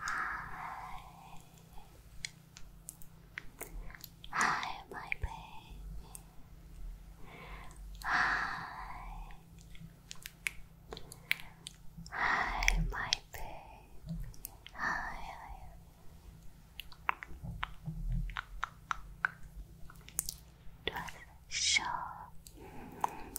Hi. Hi, my baby. Hi. Hi, my baby. Hi. Just show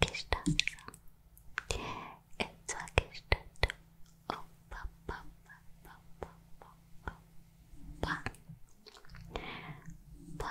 just it's okay, it's Oh, ba, ba, ba, ba, ba, ba, ba, ba, ba.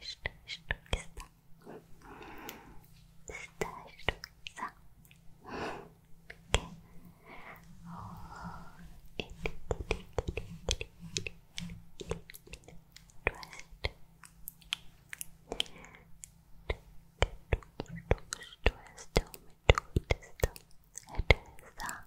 Estou, estou, está. Está, estou, está. Okay. Oh, it, it, it, it, it, it, it, it. Trust. Trust. Trust. Trust. Trust. Trust. Trust. Trust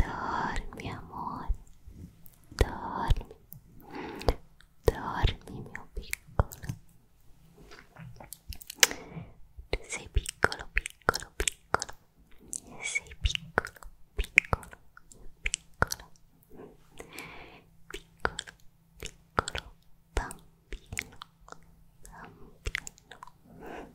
Dormi amore, dormi, dormi mio piccolo. Tu sei piccolo, piccolo, piccolo, sei piccolo, piccolo, piccolo, piccolo, piccolo bambino, bambino.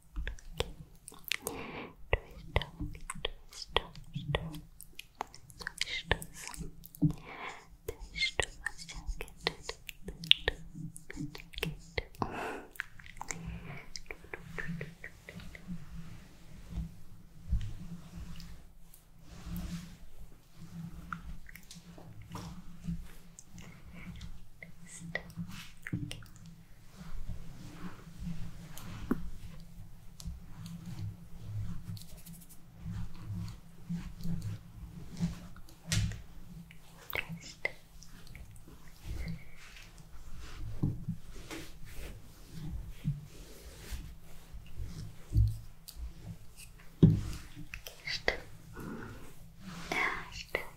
Okay. Twist up, twist up, twist up. Twist up, twist up. Okay. Next. Okay. Next. Next.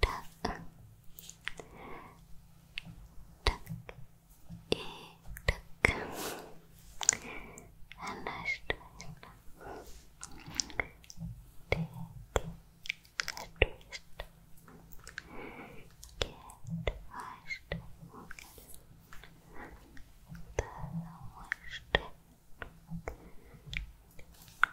タンタンいたく話したいなできあとしたけどあしたもかだらました Get washed, get washed, get washed, get washed, get washed, get washed,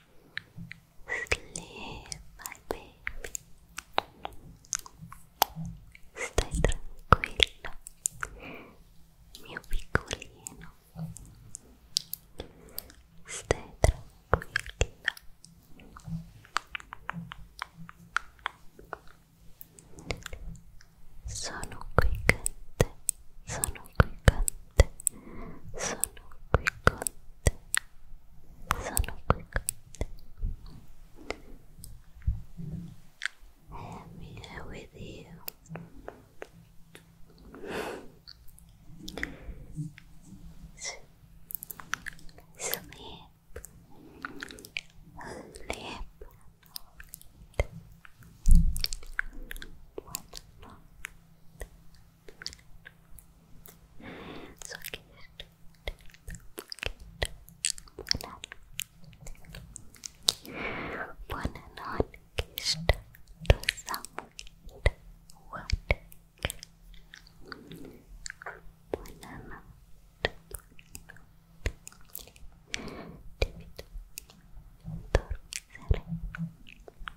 Sleep, my baby. Stai tranquillo, mio piccolino. Stai tranquilla. Sono qui con te, sono quiccante sono quiccante I am here with you sleep Sleep, so cute. Cute. Buona. Buona notte. Kissed. To someone. What? Buona notte. David. Dormi sereno.